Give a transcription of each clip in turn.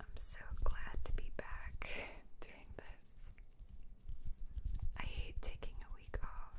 I'm so glad to be back doing this. I hate taking a week off.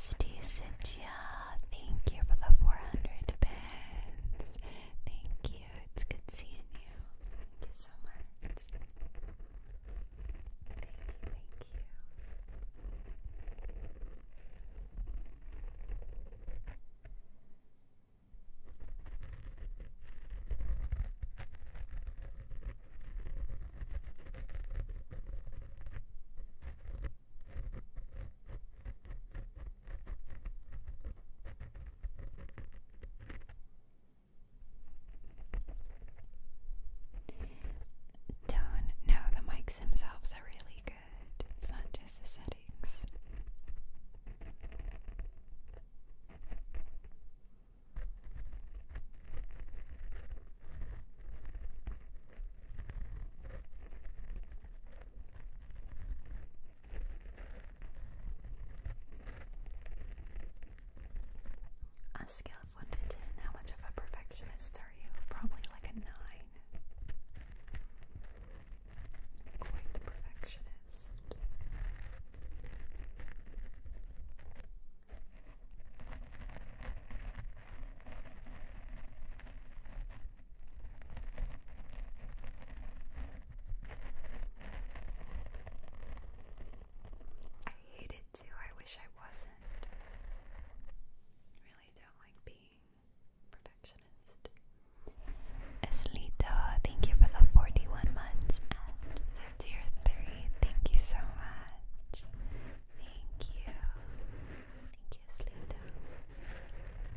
SD thank you for the 400 bits. Thank you, it's good seeing you. Thank you so much. thank you. Don't know the mics themselves are really it's not just the settings. On a scale of 1 to 10, how much of a perfectionist are you? Probably like a 9. Quite the perfectionist. I hate it too. I wish I wasn't. really don't like being perfectionist. thank you for the 41 months and tier 3. Thank you so much. Thank you. Thank you, Eslito.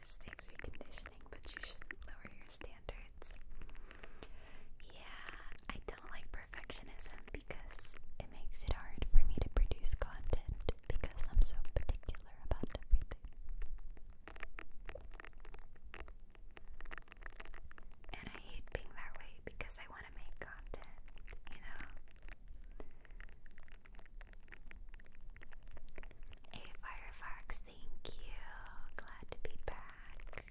just takes reconditioning, but you should lower your standards. Yeah, I don't like perfectionism because it makes it hard for me to produce content because I'm so particular about everything. And I hate being that way because I want to make content, you know? A Firefox Thank you. Glad to be back.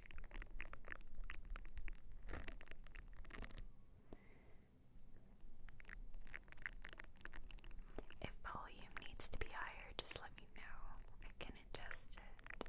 If volume needs to be higher, just let me know. I can adjust it.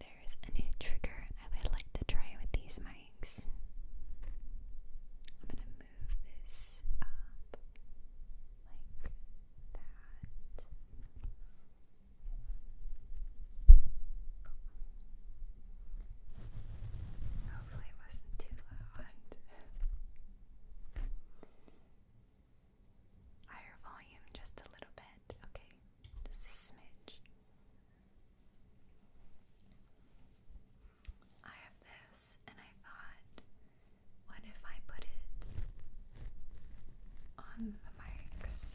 There's a new trigger I would like to try with these mics. I'm gonna move this up like that. Hopefully, it was too loud. Higher volume, just a little bit, okay. Just a smidge. I have this, and I thought, what if I put it on the mics?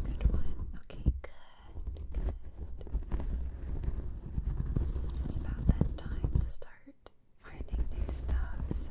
That's a good one. Okay, good, good. It's about that time to start finding new stuff, so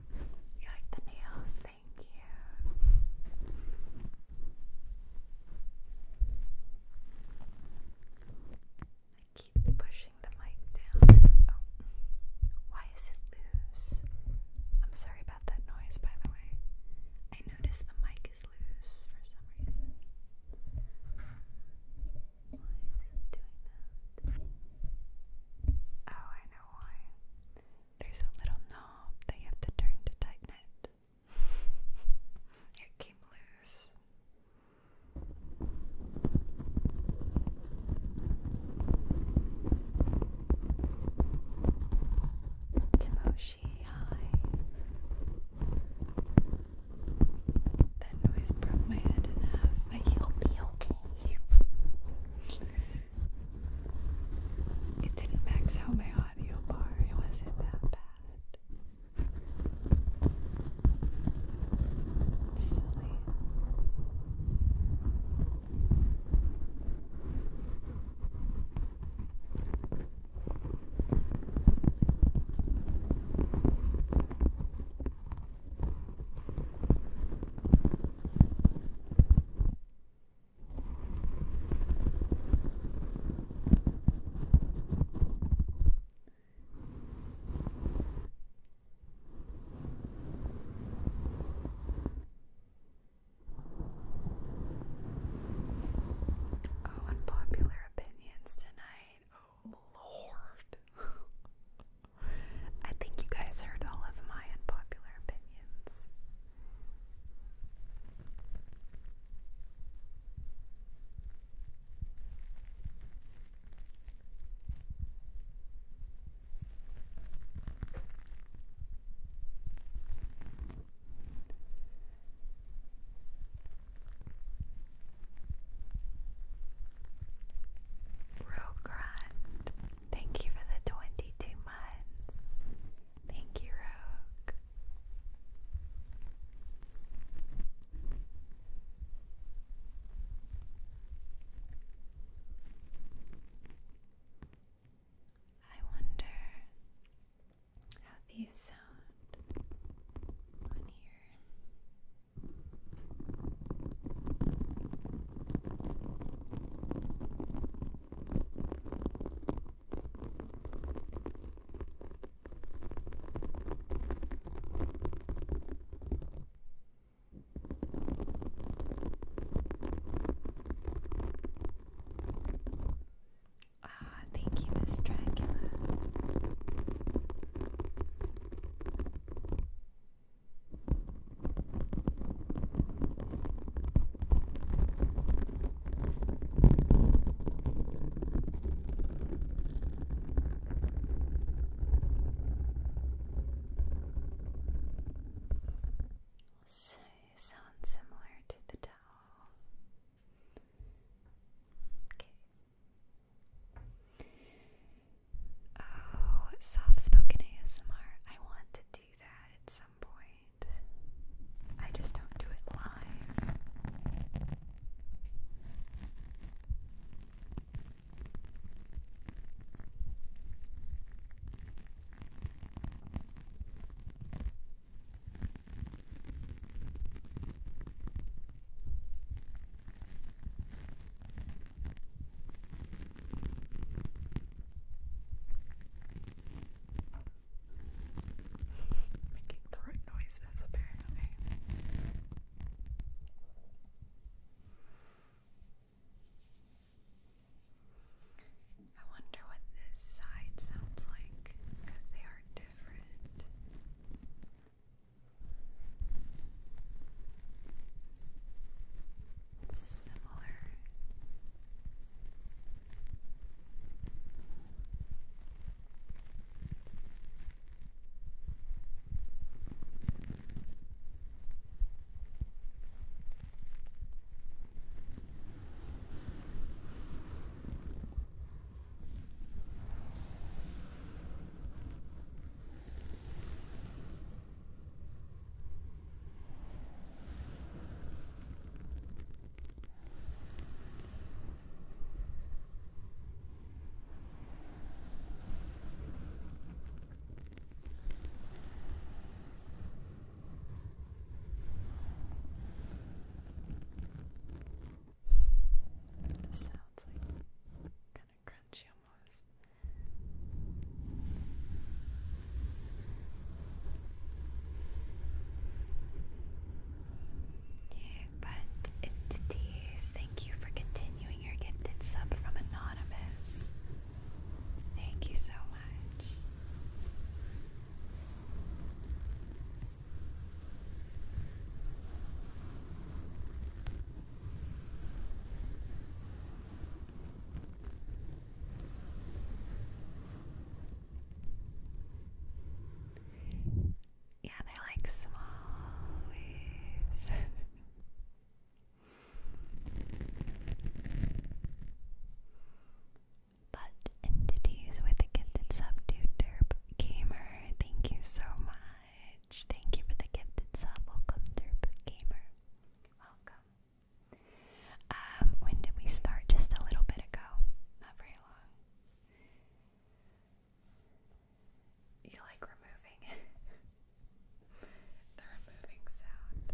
You like the nails? Thank you. keep pushing the mic down. Oh, why is it loose? I'm sorry about that noise, by the way. I noticed the mic is loose for some reason it Oh, I know why. There's a little knob that you have to turn to tighten it. It came loose. Timoshi, hi. That noise broke my head in half. I hope you it didn't max out my audio bar, it wasn't that bad. It's silly. Oh, unpopular opinions tonight. Oh, Lord. I think you guys heard all of my unpopular opinions. Rogrand Thank you for the 22 months. Thank you, Rogue. I wonder how these sound on here. Ah, thank you, Miss Dracula. So sounds similar to the doll. Okay. Oh, soft spoken ASMR. I want to do that at some point. I just don't do it live. Making the noises, apparently. I wonder what this side sounds like because they are different similar. Sounds like kind of crunchy but it is. Thank you for continuing your gifted sub from Anonymous. Thank you so much. Yeah, they're like small waves. but entities with a gifted sub to Derp Gamer, thank you so much. Thank you for the gifted sub. Welcome, Derp Gamer. Welcome. Um, when did we start? Just a little bit ago, not very long. You like removing the removing sound.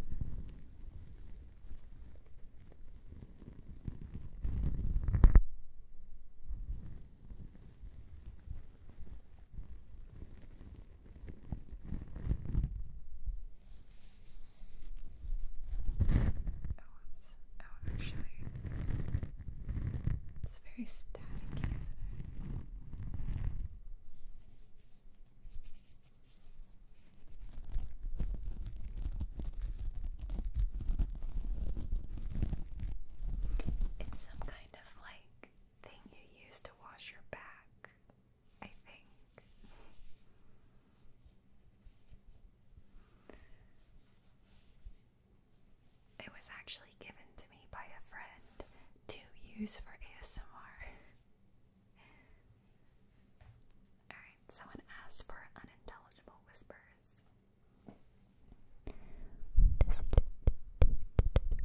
Oh, oh, actually, it's very static, is It's some kind of like thing you use to wash your back. I think. It was actually given to me by a friend to use for ASMR. Alright, someone asked for unintelligible whispers.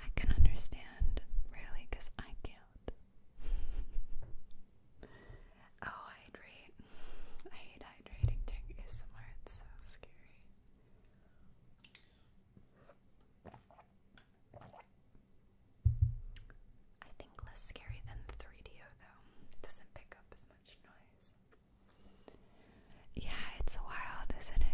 I can understand, really, I can't. oh, hydrate. I hate hydrating during ASMR, it's so scary. I think less scary than the 3DO though. It doesn't pick up as much noise. Yeah, it's wild, isn't it?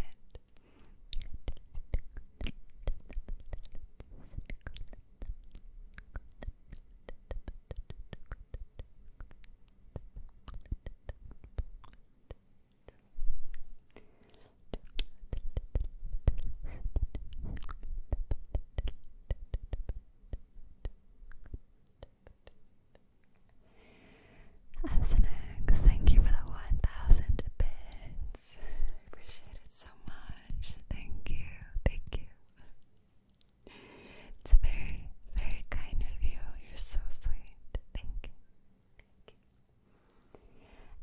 SNX, thank you for the 1000 bits. I appreciate it so much. Thank you, thank you. It's very, very kind of you. You're so sweet. Thank you.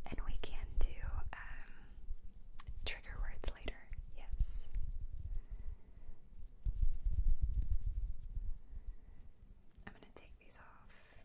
And we can do um, trigger words later. Yes. I'm going to take these off.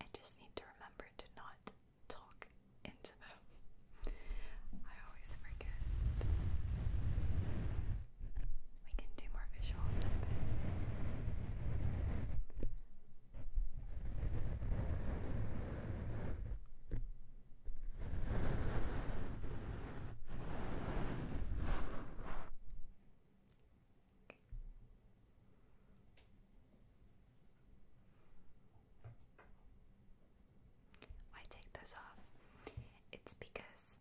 I just need to remember to not talk into them. I always forget. We can do more visuals why take those off? It's because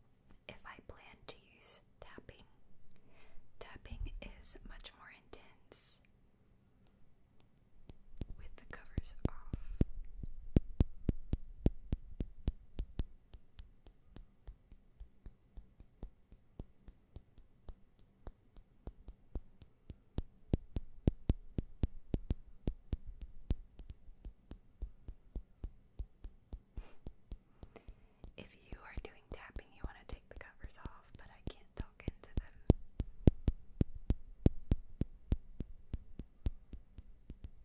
if I plan to use tapping, tapping is much more intense with the covers off. If you are doing tapping, you want to take the covers off, but I can't talk into them.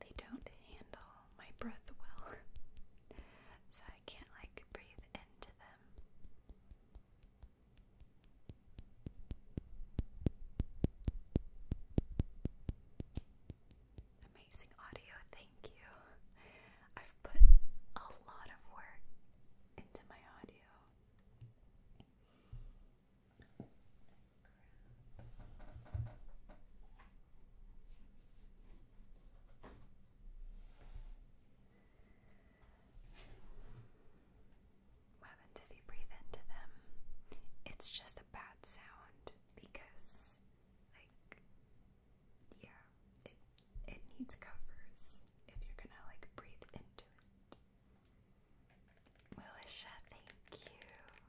They don't handle my breath well, so I can't like breathe into them. Amazing audio, thank you. I've put a lot of work into my audio. What happens if you breathe into them? It's just a bad sound because, like, yeah, it it needs covers if you're gonna like breathe into it. Melisha, thank you.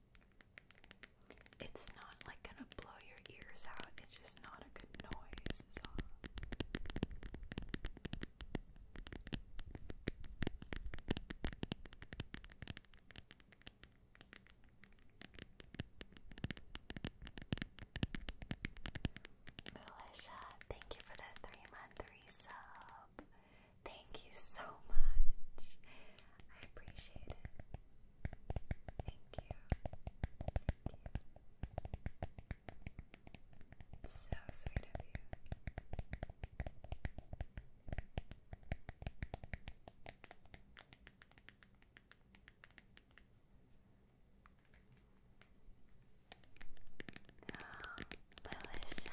It's not like gonna blow your ears out, it's just not a good noise, is thank you for the three month resub. Thank you so much. I appreciate it. Thank you. So sweet of you. Oh, Melissa,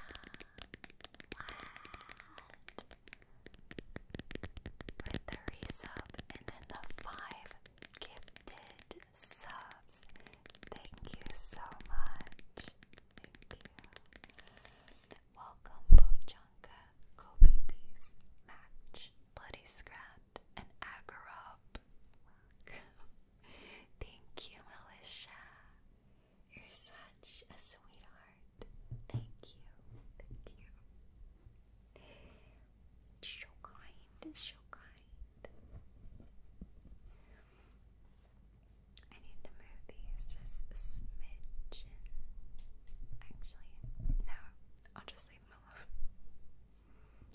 for the resub and then the five gifted subs. Thank you so much. Welcome, Bochanka, Kobe Match, Bloody Scrat, and Agarop. Thank you, Militia. You're such a sweetheart. Thank you. Thank you. So kind, so kind. I need to move these just a Actually, no, I'll just leave them alone.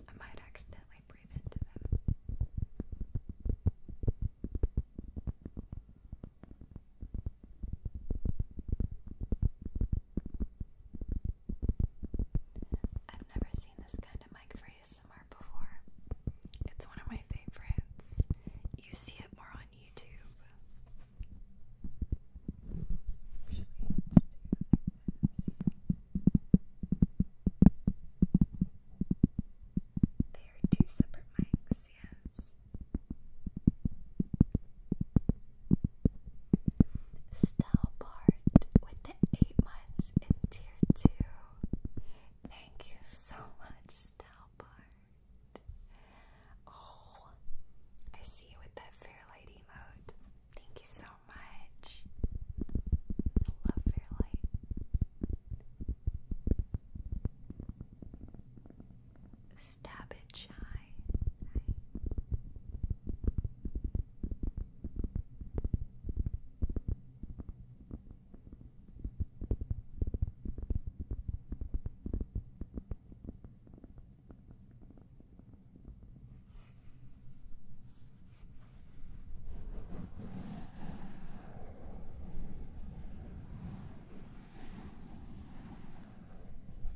I might accidentally breathe into them. I've never seen this kind of mic for ASMR before. It's one of my favorites. You see it more on YouTube. Usually are two separate mics, yes. Stalbart with the eight months in Thank you so much, Stalbart. Oh, I see you with that fair light Thank you so much. I love fair Stab it shy.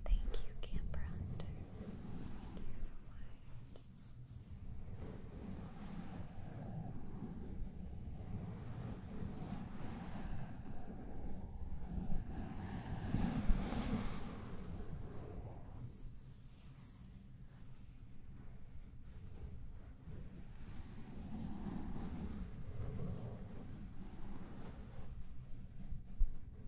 Thank you, Camper Thank you so much. Thank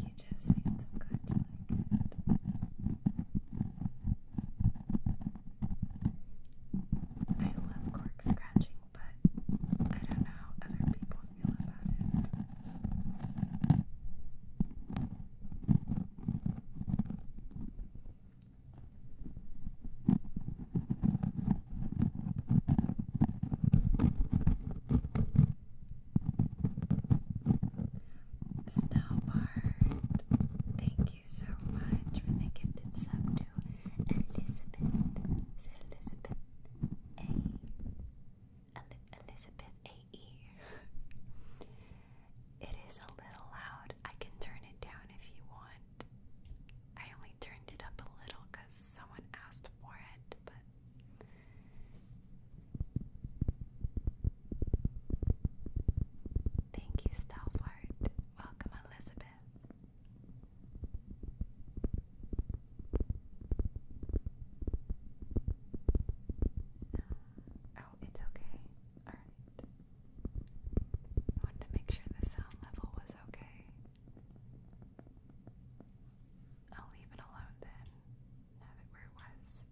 you, Jesse. i so glad you like it. I love cork scratching, but I don't know how other people feel about it. Starboard, thank you so much for the gifted sub to Elizabeth. Elizabeth A? Elizabeth A E. It is a little loud. I can turn it down if you want. I only turned it up a little because someone asked for it, but. Thank you, Stalwart. Welcome, Elizabeth. Oh, it's okay. Alright. I wanted to make sure the sound level was okay. I'll leave it alone then, now that where it was.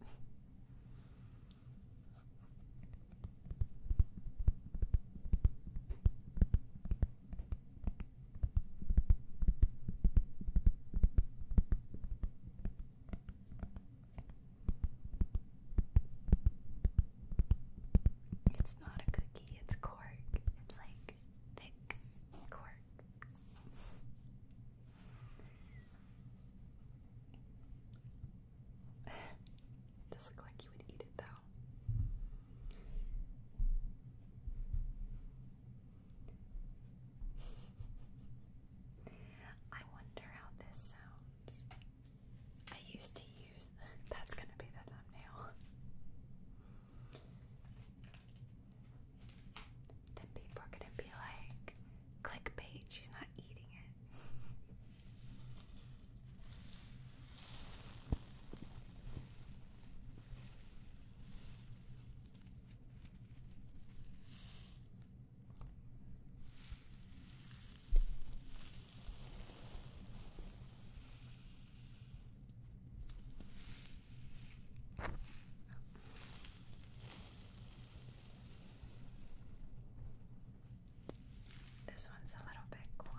It's not a cookie, it's cork. It's like thick cork. Does look like you would eat it though. I wonder how this sounds. I used to use. That's gonna be the thumbnail. Then people are gonna be like, clickbait, she's not eating it. This one's a little bit quiet.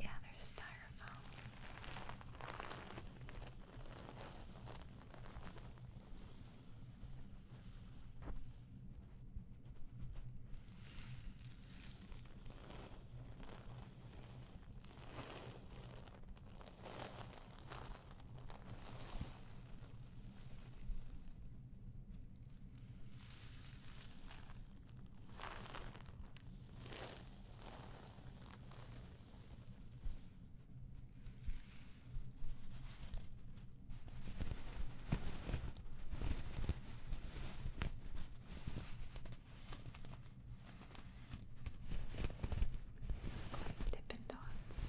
Yeah, there's styrofoam. Dippin' Dots.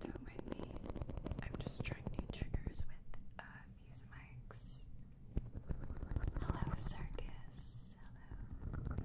do not mind me. I'm just trying new triggers with uh, these mics. Hello, circus. Hello.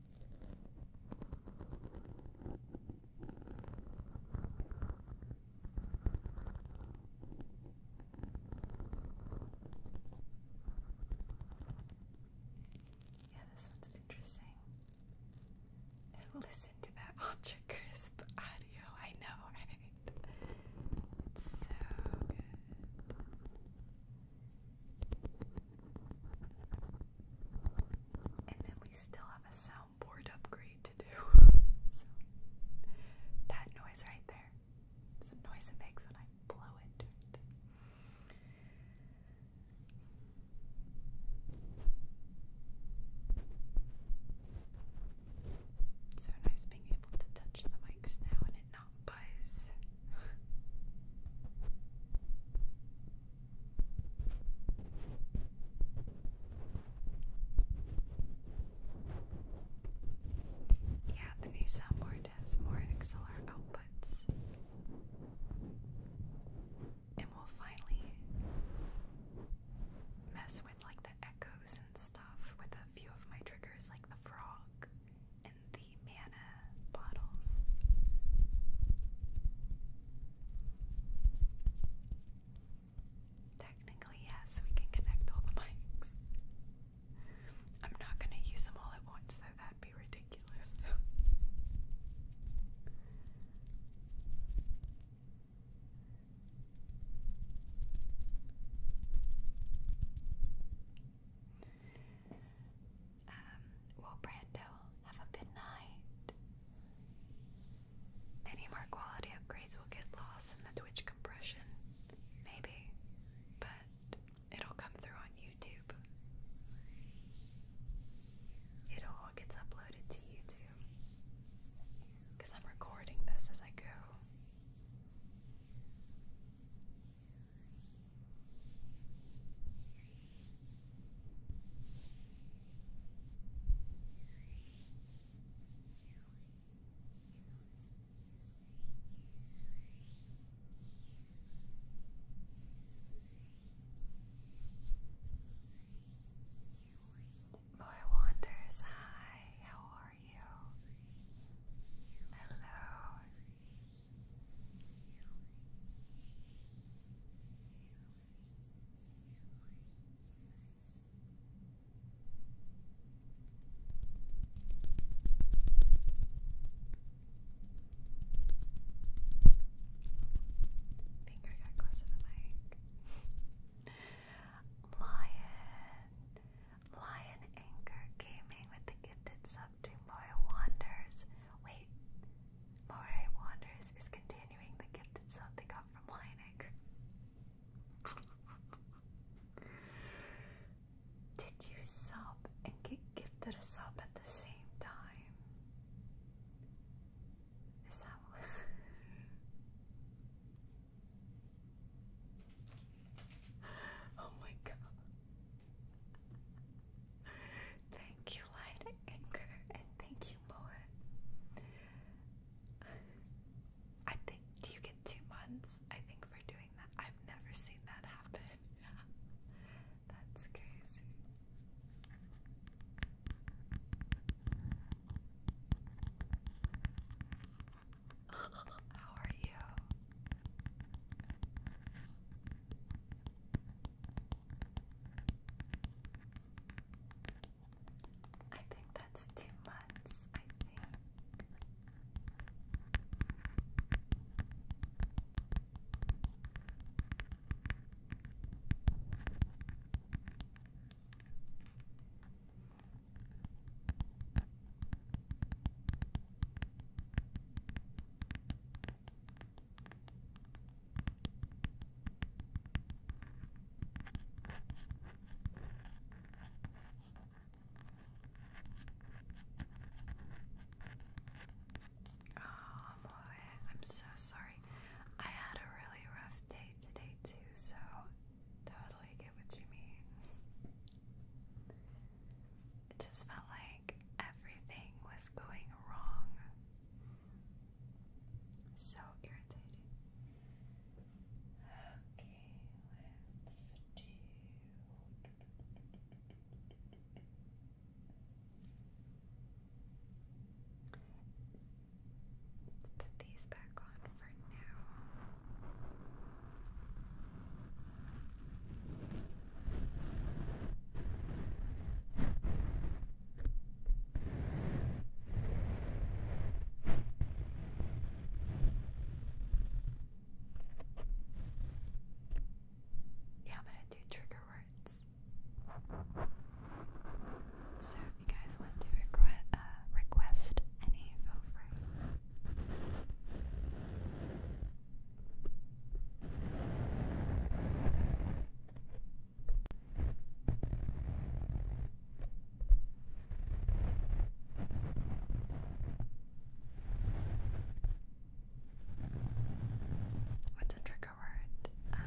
Yeah, this one's interesting. listen to that ultra crisp audio. I know, so good. And then we still have a soundboard upgrade to do. that noise right there. It's the noise it makes when I blow it. So nice being able to touch the mics now and it not buzz. Yeah, the new soundboard has more XLR outputs. And we'll finally mess with like the echoes and stuff with a few of my triggers, like the frog in the mana bottles. Technically, yes, we can connect all the mics. I'm not going to use them all at once, that'd be ridiculous. Um, well, Brando, have a good night. Any more quality upgrades will get lost in the Twitch compression, maybe, but it'll come through on YouTube. It all gets uploaded to YouTube because I'm recording this as I go. More wanders. Hi, how are you? Hello. Finger got close to the mic. Lion. Lion Anchor Gaming with the gifted sub up Wanders. Wait, Moira Wanders is continuing the gifted song they got from Lion Did you sub and get gifted a sub at the same time? Is that what? oh my god thank you, Light Anchor, and thank you, Moa. I think, do you get two months? I think for doing that. I've never seen that happen. That's crazy. How are you? I think that's two months, I think. Oh boy, I'm so sorry. I had a really rough day today, too, so totally get what you mean. It just felt like everything was going wrong. So irritating. Okay, let's do. put these back on for now. Yeah, I'm gonna do trigger words. So if you guys want to uh, request, any, feel free. What's a trigger word? Um,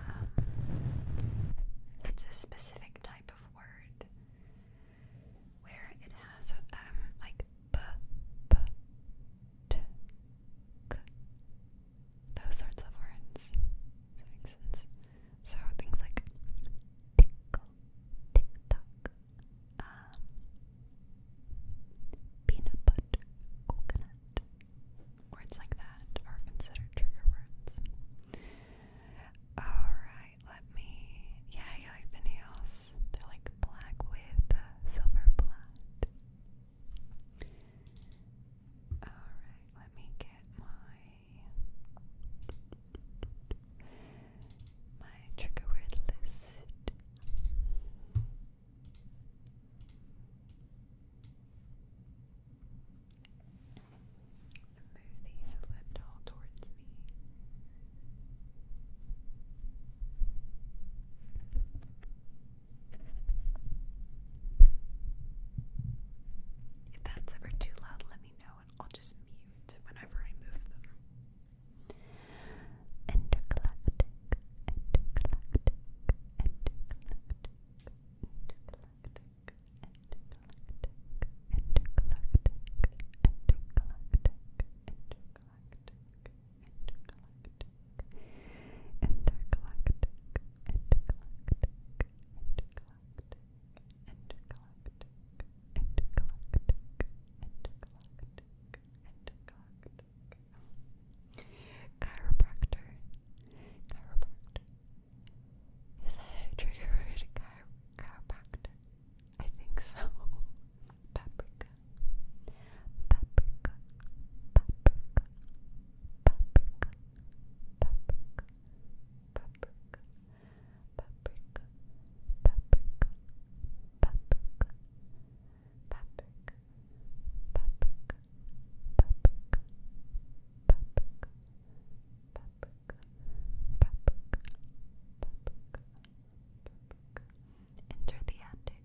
it's a specific type of word where it has um like b, b, t, k, those sorts of words. Does that make sense? So things like tickle, tick tock, um, peanut butter, coconut, words like that are considered trigger words. Alright, let me. Yeah, you like the nails. They're like black with silver blood. Alright, let me get my my trigger word list. Move these a little towards me. If that's ever too loud, let me know and I'll just mute whenever I move them. Intergalactic, intergalactic, intergalactic, intergalactic, intergalactic, intergalactic, intergalactic, intergalactic, intergalactic intergalactic, intergalactic, intergalactic, intergalactic, intergalactic, intergalactic, intergalactic, intergalactic. Chiropractor, chiropractor. Is that a trigger word? chiropractor. I think so. Paprika, paprika, paprika, paprika, paprika, Enter the attic.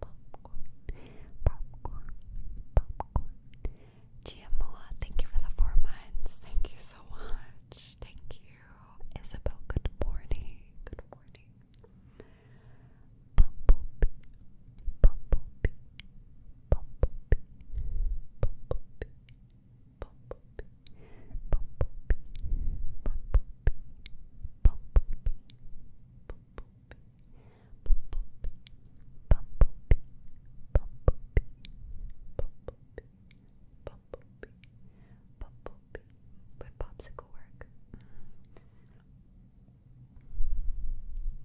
popcorn, popcorn, thank you for the four months. Thank you so much. Thank you, Isabel. Good morning. Good morning. Bumblebee, Bumblebee, Bumblebee, Bumblebee, Bumblebee, Bumblebee. Would popsicle work?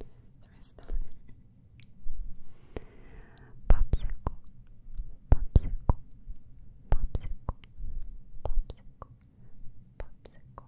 The rest of it. Popsicle, popsicle, popsicle, popsicle, popsicle,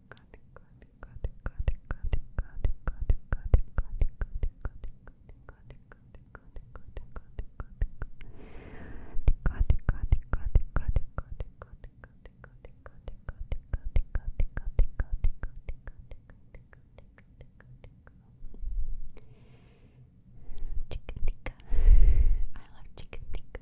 Chicken tikka. I love chicken tikka.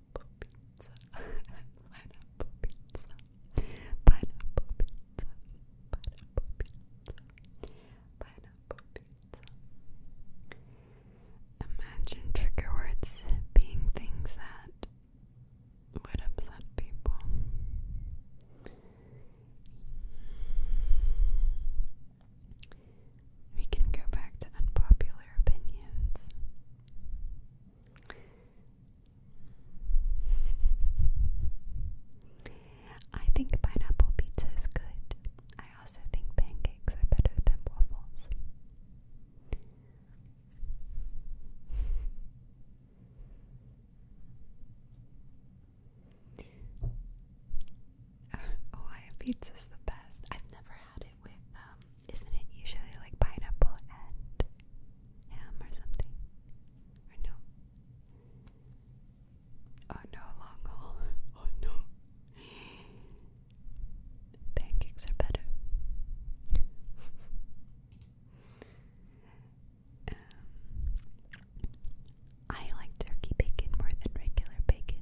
pineapple pizza, pineapple pizza, pineapple pizza, pineapple pizza, pineapple pizza. Imagine trigger words being things that would upset people. We can go back to unpopular opinions. I think pineapple pizza is good. I also think pancakes are better than waffles. oh, Ohio pizza's the best. I've never had it it with um isn't it usually like pineapple and ham or something? Or no? Oh no, long haul. Oh no. Pancakes are better. um, I like turkey bacon more than regular bacon.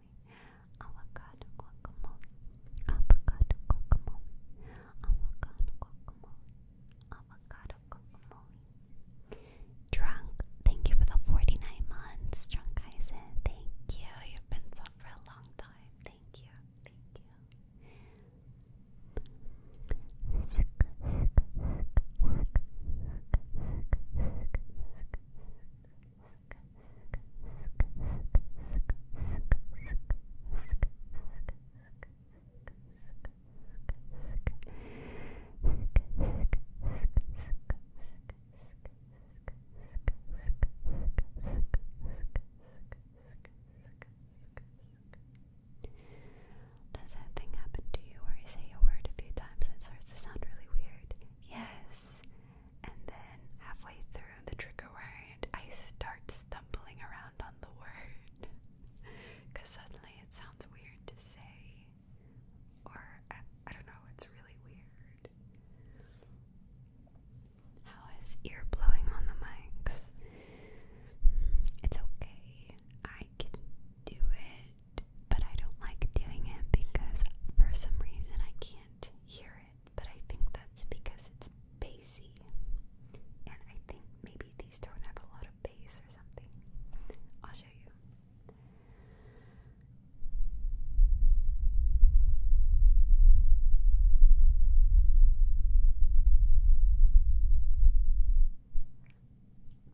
avocado guacamole, avocado guacamole, avocado guacamole, avocado guacamole. Drunk, thank you for the 49 months, Drunk Eisen. Thank you, you've been so for a long time. Thank you, thank you. Does that thing happen to you where you say a word a few times and starts to sound really weird? Yes, and then halfway through the trigger word, I start stumbling around on the word because suddenly it sounds weird to say, or I, don't know, it's really weird. How is ear blowing on the mics? It's okay. I can do it, but I don't like doing it because for some reason I can't hear but I think that's because it's bassy. And I think maybe these don't have a lot of bass or something. I'll show you.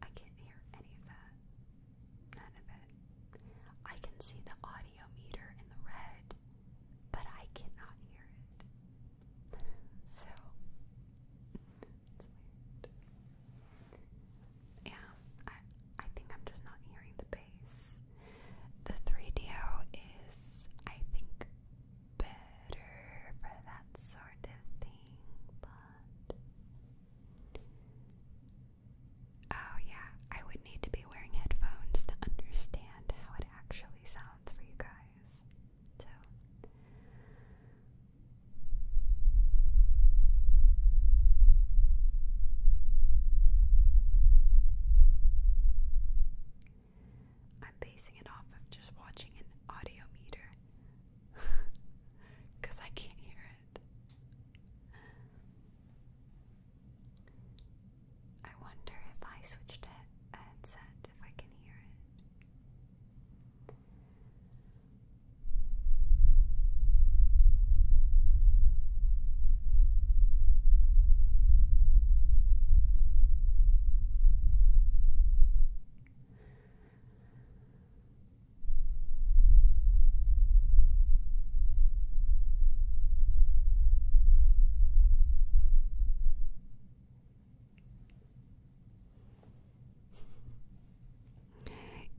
I can't hear any of that. None of it. I can see the audio meter in the red but I cannot hear it. So Yeah, I I think I'm just not hearing the bass. The 3DO is I think better for that sort of thing, but Oh, yeah, I would need to be wearing headphones to understand how it actually sounds for you guys. So. I'm basing it off just watching an audio meter because I can't hear it. I wonder if I switched a headset if I can hear it.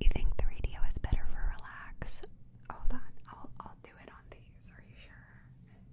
You think the radio is better for relax? Hold on, I'll I'll do it on these. Are you sure? Relax.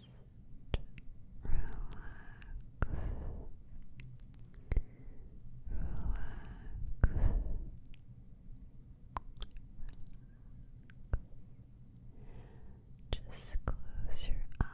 relax. Just close your eyes and relax.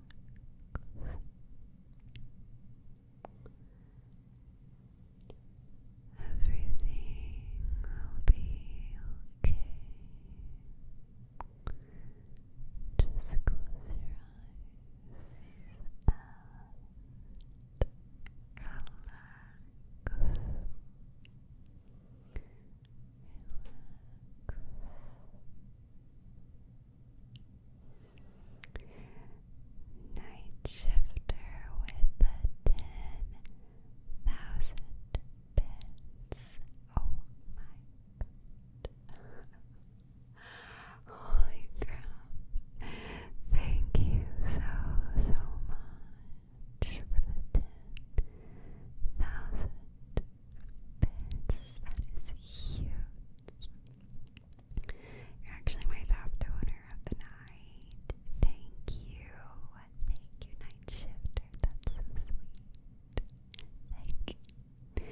Everything will be okay. Just close your eyes and relax. Relax. Night with the 10,000 bits. Oh my god. Holy crap. Thank you so, so much for the 10,000 this. That is huge. You're actually my top donor of the night. Thank you. Thank you, Night That's sweet. Thank you.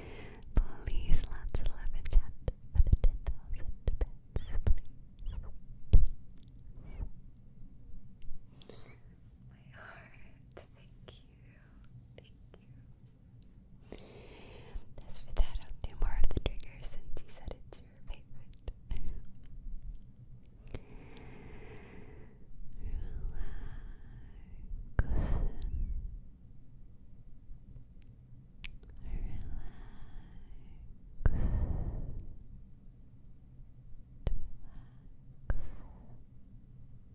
Please let's love and chat for the 10,000 bits, please. My heart. Thank you. Thank you. As for that, I'll do more of the trigger since you said it's your favorite. Relax. Relax. Relax.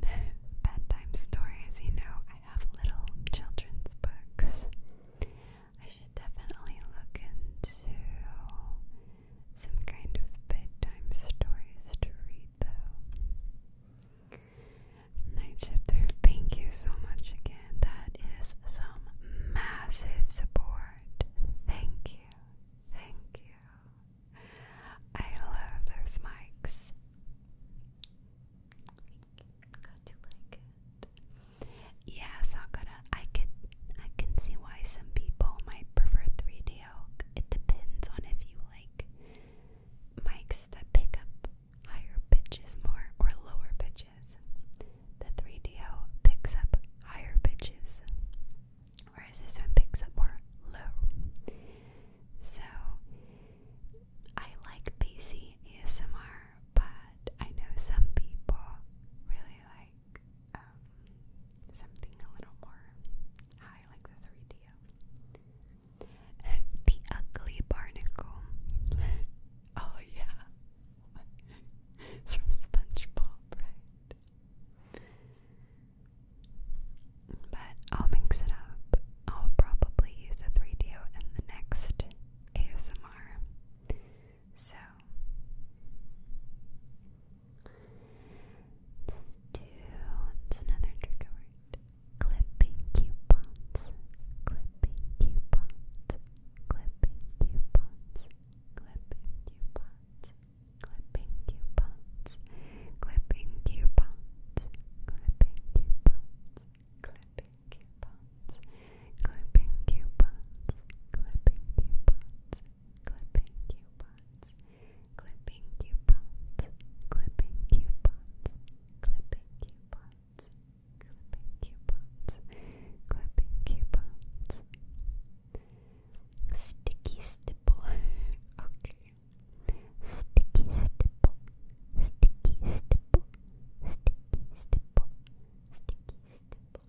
Bedtime stories, you know, I have little children's books. I should definitely look into some kind of bedtime stories to read, though. Night thank you so much again. That is some massive support. Thank you. Thank you. I love those mics. Got to like it. Yeah, Sakura, I can I can see why some people might prefer 3DO. It depends on if you like mics that pick up higher pitches more or lower pitches. The 3DO picks up higher pitches, whereas this one picks up more low. So I like PC ASMR, but I know some people really like um, something a little more high, like the 3DO. the ugly barnacle. oh, yeah. it's from SpongeBob, right? But I'll mix it up. I'll probably use a 3DO in the next ASMR. So, do it's another trigger word. Clipping coupons, clipping coupons, clipping coupons, clipping coupons, clipping coupons, clipping coupons, clipping coupons, clipping coupons, clipping coupons, clipping coupons, clipping coupons, clipping coupons, clipping coupons, clipping coupons, clipping coupons, clipping coupons. Sticky stipple. okay. Sticky stipple. Sticky stipple. Sticky stipple. Sticky stipple.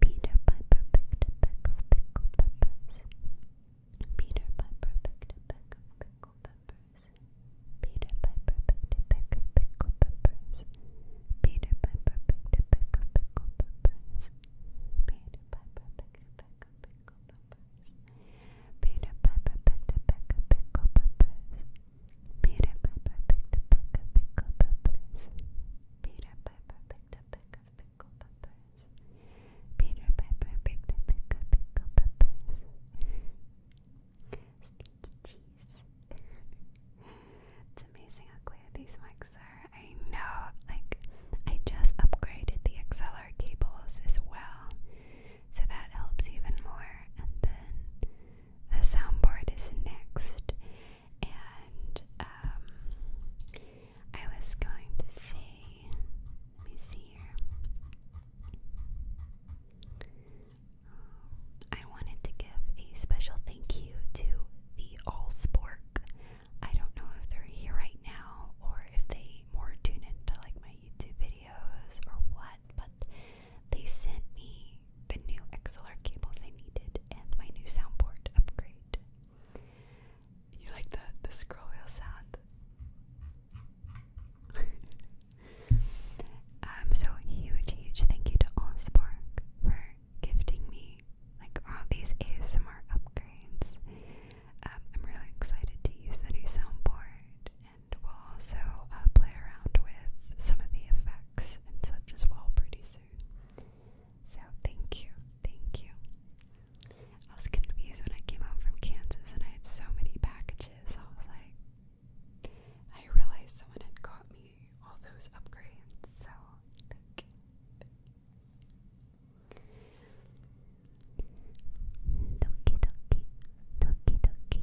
Peter Piper picked a peck of peppers. Peter Piper picked a peck of peppers. Peter Piper picked a peck of peppers. Peter Piper picked a peck of peppers. Peter Piper picked a peck of peppers. Peter Piper picked a peck of pickle peppers. Peter Piper picked a peck of pickle peppers. Peter Piper picked a peck of pickle peppers. it's amazing how clear these mics are. I know, like, I just upgraded the XLR cables as well, so that helps even more. And then the soundboard is next, and um, I was going to say, let me see here. I wanted to give a special thank you to the Allspork. I don't know if they're here right now or if they more tune into like my YouTube videos or what, but they sent me the new XLR cables I needed and my new soundboard upgrade. You like the, the scroll wheel sound? um, so huge, huge thank you to Allspark for gifting me like all these ASMR upgrades. Um, I'm really excited to use the new soundboard we'll also uh, play around with some of the effects and such as well pretty soon. So thank you, thank you. I was confused when I came home from Kansas and I had so many packages. I was like, I realized someone had got me all those upgrades, so thank you. Doki doki,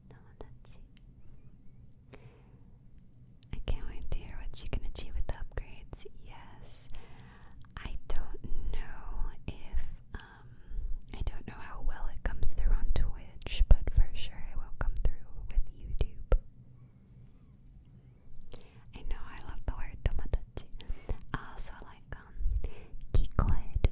I can't wait to hear what you can achieve with the upgrades. Yes. I don't know if um I don't know how well it comes through on Twitch, but for sure it will come through with YouTube. I know I love the word tomatachi. I also like um kikoeru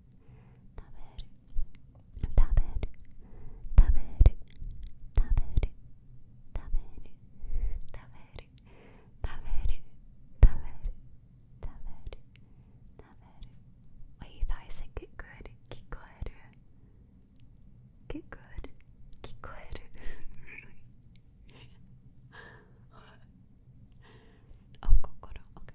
taber, taber, taber, taber, taber, taber, taber, taber, taber, taber. Wait, you thought I said get good, get good, get good, get good. really? oh, go, go, no. okay.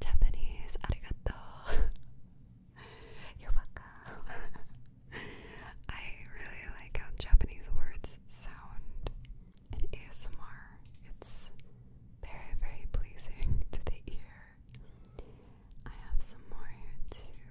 Japanese, arigato. you I really like how Japanese words sound in ASMR. It's very, very pleasing to the ear. I have some more here too.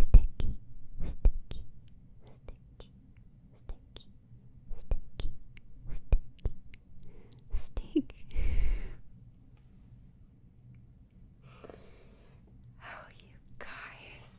sticky, sticky, sticky, sticky, sticky, sticky, stick. oh, you guys.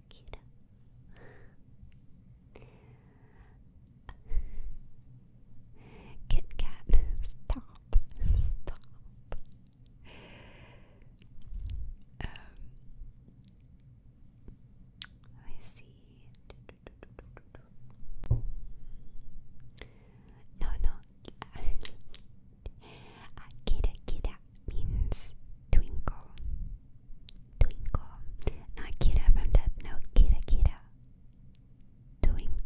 cute. stop, stop. Um, I see. No, no. Akira, Kira, means twinkle. Twinkle. Not Kira from Death Note, Kira Kira. Twinkle. Twinkle.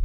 Um,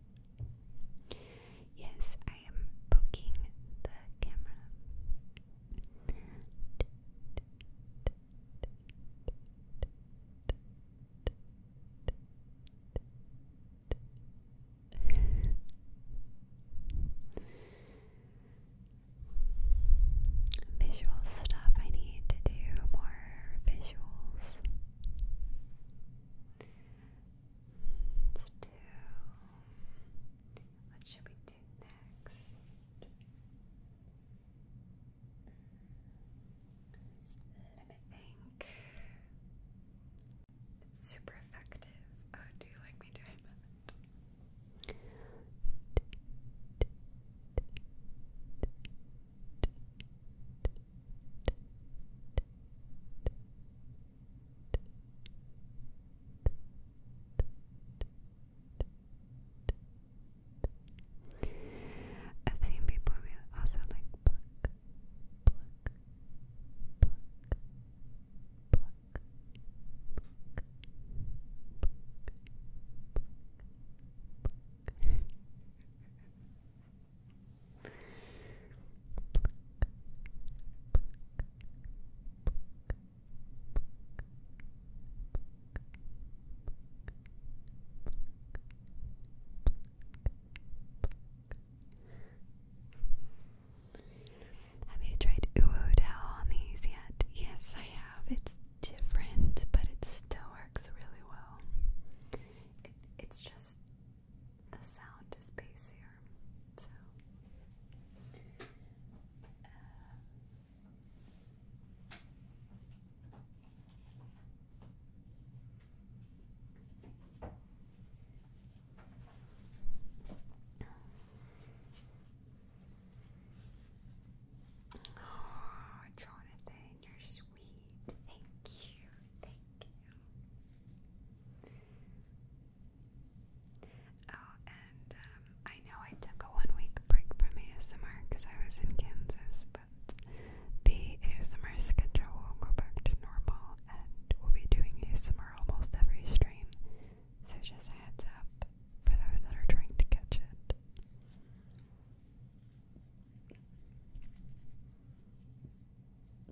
Yes, I am poking the camera. Visual stuff, I need to do more visuals to What should we do next? Let me think. It's super effective. Oh, do you like me doing that? I've seen people really also like pluck, pluck, pluck, pluck, pluck, pluck, pluck. Have you tried Uodao on these yet? Yes, I have. It's different, but it still works really well. it's just the sound is bassier. So, um, uh, Jonathan, you're sweet. Thank you. Oh, and um, I know I took a one week break from ASMR because I was in Kansas, but the ASMR schedule will go back to normal and we'll be doing ASMR almost every stream. So just heads up for those that are trying to catch it.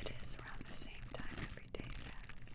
It is around the same time every day, guys.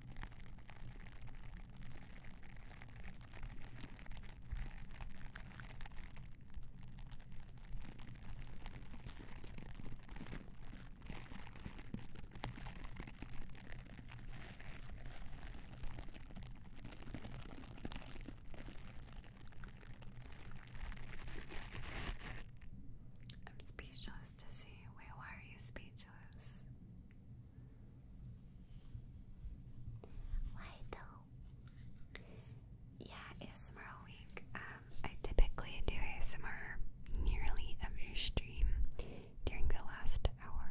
I'm speechless to see. Wait, why are you speechless? Why though? Yeah, ASMR week. Um, I typically do ASMR nearly every stream during the last hour.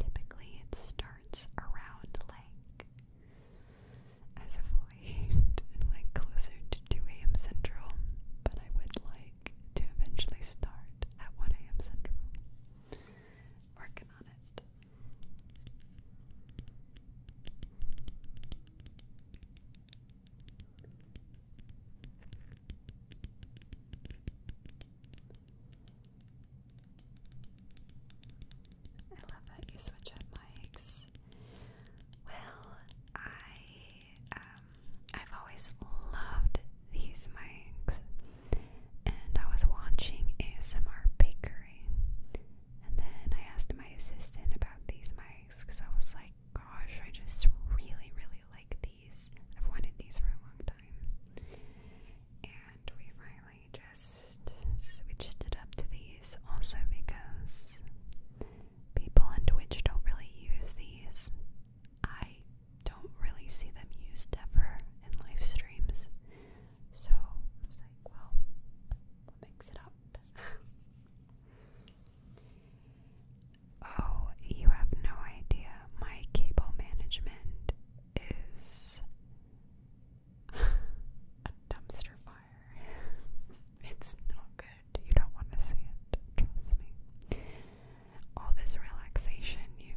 Typically, it starts around like as of late and like closer to 2 a.m. Central, but I would like to eventually start at 1 a.m. Central. Working on it. I love that you switch up mics. Well, I um I've always loved these mics, and I was watching ASMR Bakery, and then I asked my assistant about these mics because I was like, gosh, I just really, really like these. I've wanted these for a long time, and we finally just switched it up to these also because people on Twitch don't really use these I don't really see them used ever in live streams. So I like, well, mix it up. oh, you have no idea. My cable management is a dumpster fire. it's not good. You don't want to see it. Trust me. All this relaxation you've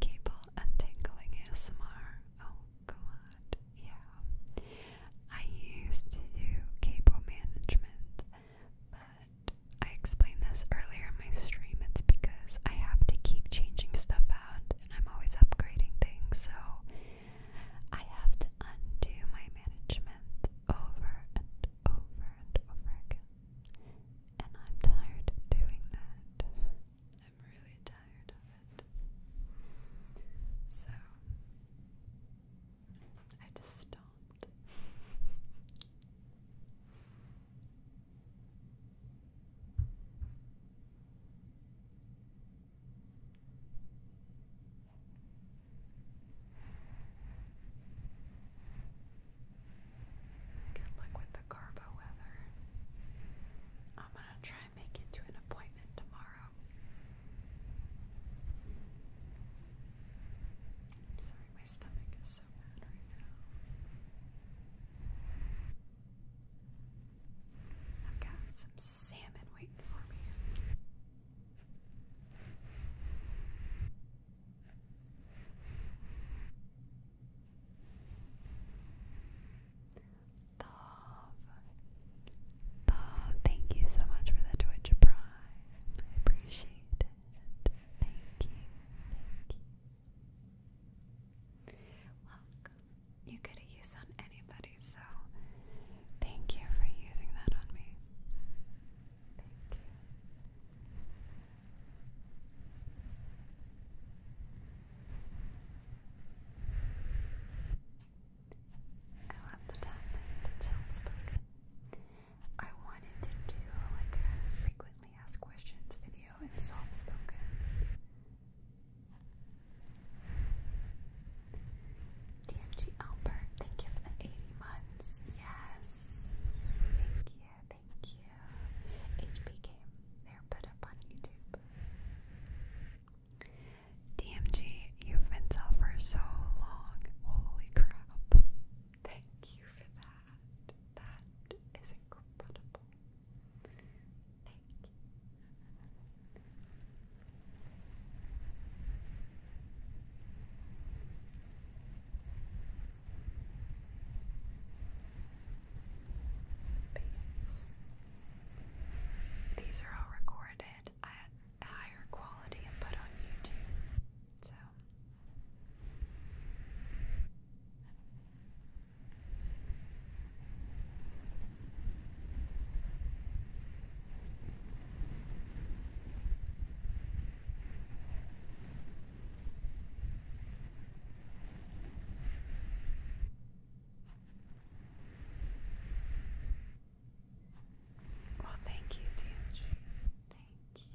Cable untangling ASMR. Oh god, yeah. I used to do cable management, but I explained this earlier in my stream. It's because I have to keep changing stuff out. I'm always upgrading things, so I have to undo my management over and over and over again. And I'm tired of doing that. I'm really tired of it. So, I just stopped. Good luck with the Garbo weather. I'm gonna try and make it to an appointment tomorrow. sorry, my stomach is so bad right now. I've got some salmon waiting for me. Love. Love, thank you so much for the Twitch I appreciate it. Thank you. Thank You could have used on anybody, so thank you for using that on me. Thank you. I love the topic that's self-spoken. I wanted to do like a frequently asked questions video in self-spoken. DMG Albert, thank you for the 80 months. Yes. Thank you, Thank you. They're put up on YouTube. DMG, you've been sell for so long. Holy crap. Thank you for that. That is incredible. Thank you. These are all recorded at higher quality and put on YouTube. So well, thank you, Tangie. Thank you.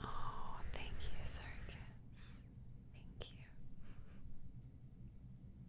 Oh, thank you, Circus. Thank you.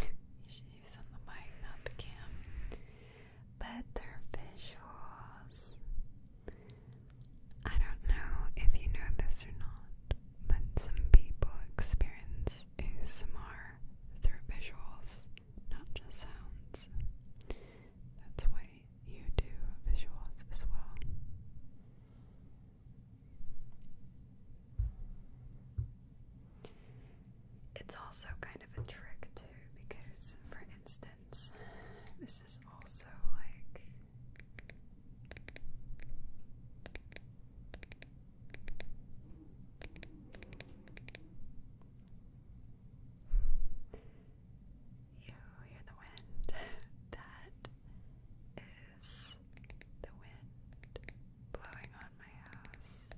you should use the mic, not the cam. Better visuals. I don't know if you know this or not, but some people experience ASMR through visuals, not just sounds. That's why you do visuals as well. It's also kind of a trick too because, for instance, this is also like you hear the wind. that is the wind blowing on my house.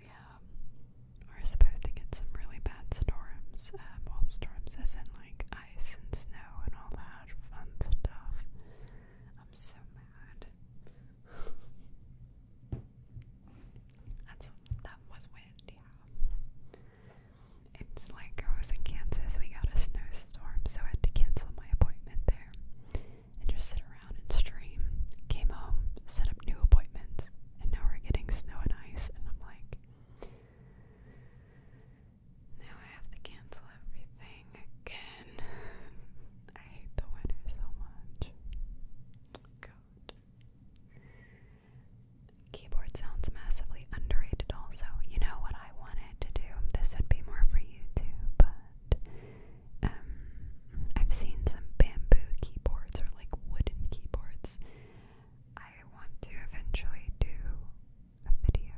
Yeah, we're supposed to get some really bad storms. Um, well, storms as in like ice and snow and all that fun stuff. I'm so mad. That's that was wind, It's like I was in Kansas, we got a snowstorm, so had to cancel my appointment there and just sit around and stream. Came home, set up new appointments, and now we're getting snow and ice, and I'm like, now I have to cancel everything again. I hate the winter so much. God. Keyboard sounds massively underrated, also. You know what I wanted to do? This would be more for you too. but um, I've seen some bamboo keyboards or like wooden keyboards I want to eventually do a video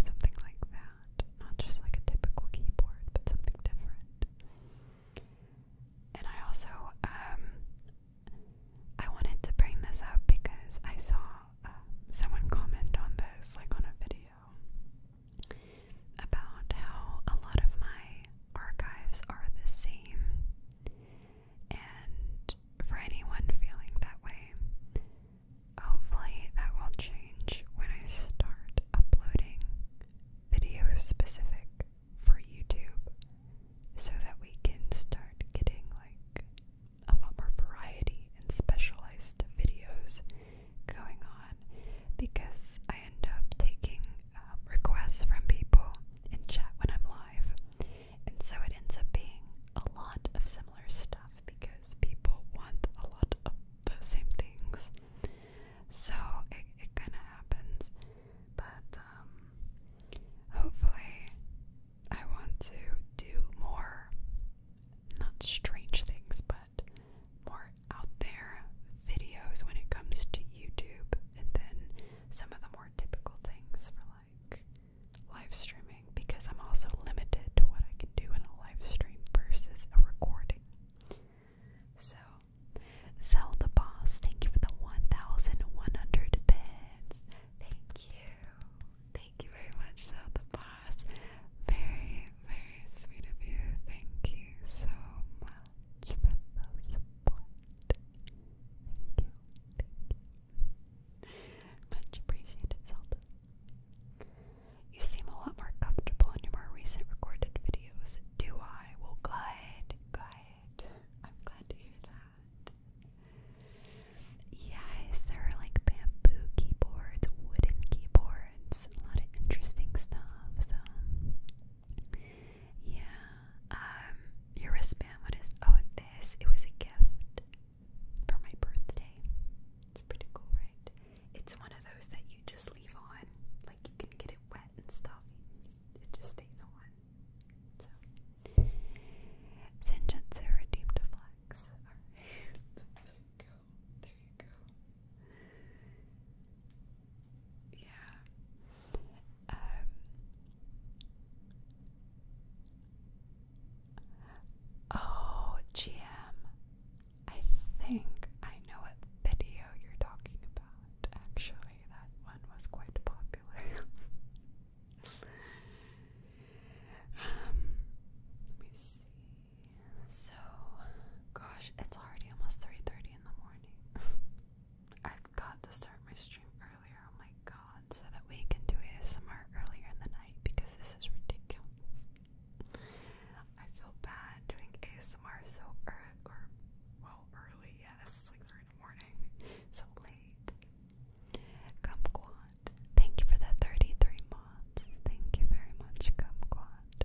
something like that. Not just like a typical keyboard, but something different. And I also, um, I wanted to bring this up because I saw um, someone comment on this, like on a video, about how a lot of my archives are the same. And for anyone feeling that way, hopefully that will change when I start uploading videos specific for YouTube so that we can start getting like a lot more variety and specialized videos going on because I end up taking um, requests from people in chat when I'm live and so it ends up being a lot of similar stuff because people want a lot of the same things. So it, it kind of happens. But um, hopefully, I want to do more, not strange things, but more out there videos when it comes to YouTube and then some of the more typical things for live streaming because I'm also limited to what I can do in a live stream versus a recording. So, sell the Boss, thank you for the 1,100 bits. Thank you. Thank you very much, sell the Boss. Very, very sweet of you. Thank you so much you. Much appreciated, Zelda. You seem a lot more comfortable in your more recent recorded videos. Do I? Well, good, good. I'm glad to hear that. Yes, there are like bamboo keyboards, wooden keyboards, a lot of interesting stuff. So yeah. Um, your wristband, what is oh this? It was a gift for my birthday. It's pretty cool, right? It's one of those that you just leave on. Like you can get it wet and stuff. It just stays on. So Senjutsu redeemed a flex. there you go. There you go. Yeah. Um, oh, GM. I think I know what video you're talking about. Actually, that one was quite popular. Um, let me see. So, gosh, it's already almost 3:30 in the morning. I've got to start my stream earlier, oh my god, so that we can do ASMR earlier in the night because this is ridiculous. I feel bad doing ASMR so early, or, well, early, yes, it's like 3 morning, so late. Kumquat, thank you for the 33 mods, thank you very much, Kumquat.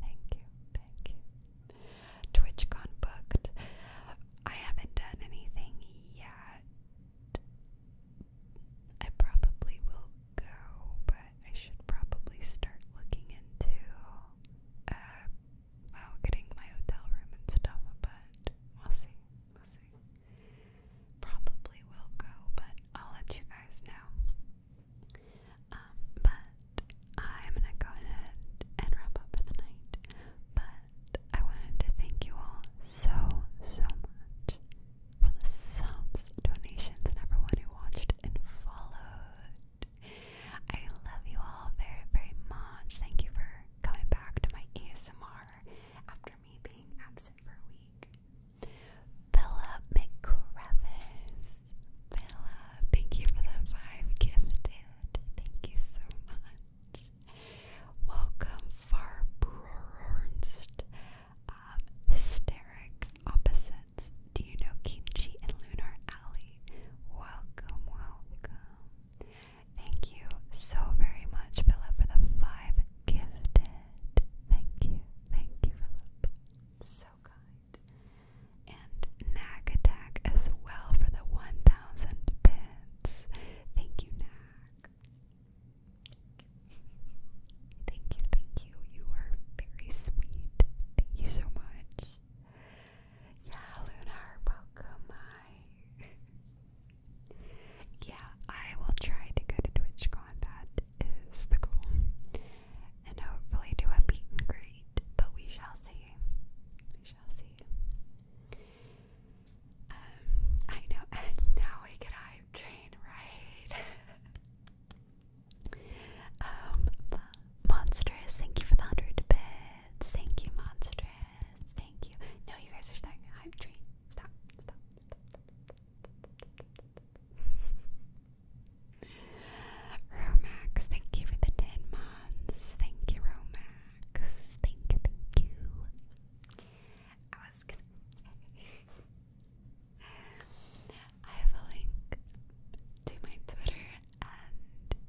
Thank you, thank you. TwitchCon booked. I haven't done anything yet. I probably will go, but I should probably start looking into uh well getting my hotel room and stuff, but we'll see. We'll see. Probably will go, but I'll let you guys know. Um, but I'm gonna go ahead and wrap up for the night. But I wanted to thank you all so, so much for the subs, donations, and everyone who watched and followed. I love you all very, very much. Thank you for coming back to my ASMR after me being absent for a week. Philip McCrevis. Philip, thank you for the five gifted. Thank you so much. Welcome, Farbrornst. Um, hysteric opposites. Do you know Kimchi and Lunar Alley? Welcome, welcome. Thank you so very much, Philip, for the five gifted. Thank you, thank you, Philip. So kind. And Nag as well for the 1,000 bits. Thank you, Nag Thank you, thank you. You are very sweet. Thank you so much. Yeah, Lunar, welcome. yeah, I will try to go to TwitchCon. That is the goal. And hopefully do a meet and But we shall see. We shall see. Um, I know, and now we get hype train, right? um, Mo monstrous, thank you for the hundred bits. Thank you, monstrous. Thank you. No, you guys are starting a hype train. Stop, stop, stop, stop. Romax, thank you for the ten months. Thank you, Romax. Thank you, thank you. I have a link to my Twitter and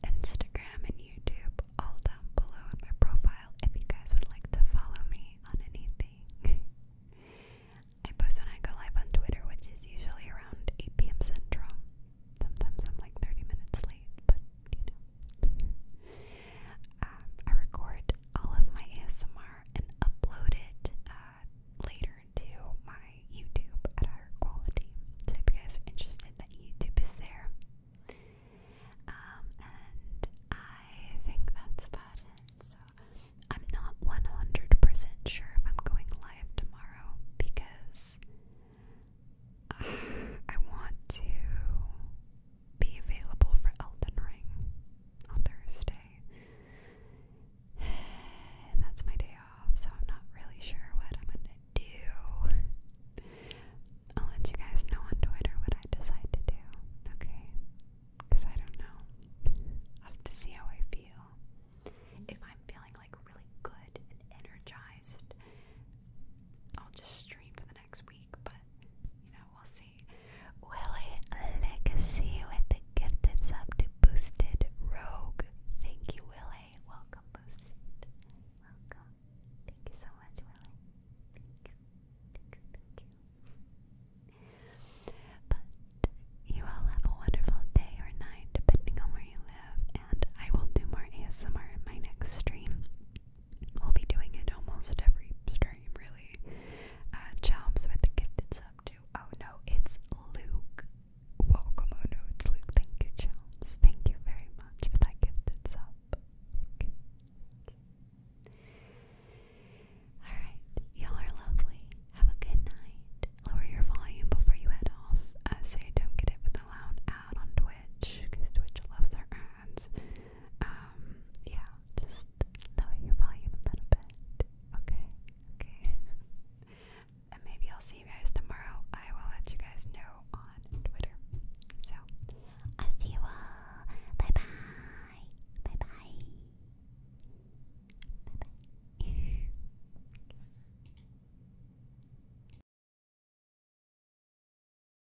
Instagram and YouTube all down below in my profile if you guys would like to follow me on anything. I post when I go live on Twitter, which is usually around 8 p.m. Central. Sometimes I'm like 30 minutes late, but I record all of my ASMR and upload it uh, later to my YouTube at higher quality. So if you guys are interested, that YouTube is there. Um, and I think that's about it. So I'm not 100% sure if I'm going live tomorrow because I want to be available for Elden Ring on Thursday. And that's my day off, so I'm not really sure what I'm gonna do. I'll let you guys know on Twitter what I decide to do, okay? Because I don't know. i have to see how I feel. If I'm feeling like really good and energized, I'll just stream for next week, but you know, we'll see. Will legacy with the gifted sub to Boosted Rogue? Thank you, Willie. Welcome, Boosted. Welcome. Thank you so much, Willie. But you all have a wonderful day or night, depending on where you live, and I will do more ASMR in my next stream. I'll be doing it almost every stream, really. Uh, with the gifted sub too. Oh no, it's Luke. Welcome. Oh no, it's Luke. Thank you, Chops. Thank you very much for that gifted sub. Thank Alright, y'all are lovely. Have a good night. Lower your volume before you head off uh, so you don't get it with the loud ad on Twitch because Twitch loves their ads. Um, yeah, just lower your volume a little bit. Okay, okay. and maybe I'll see you guys tomorrow. I will let you guys know on Twitter. So, I'll see you all. Bye bye. Bye bye. Bye bye.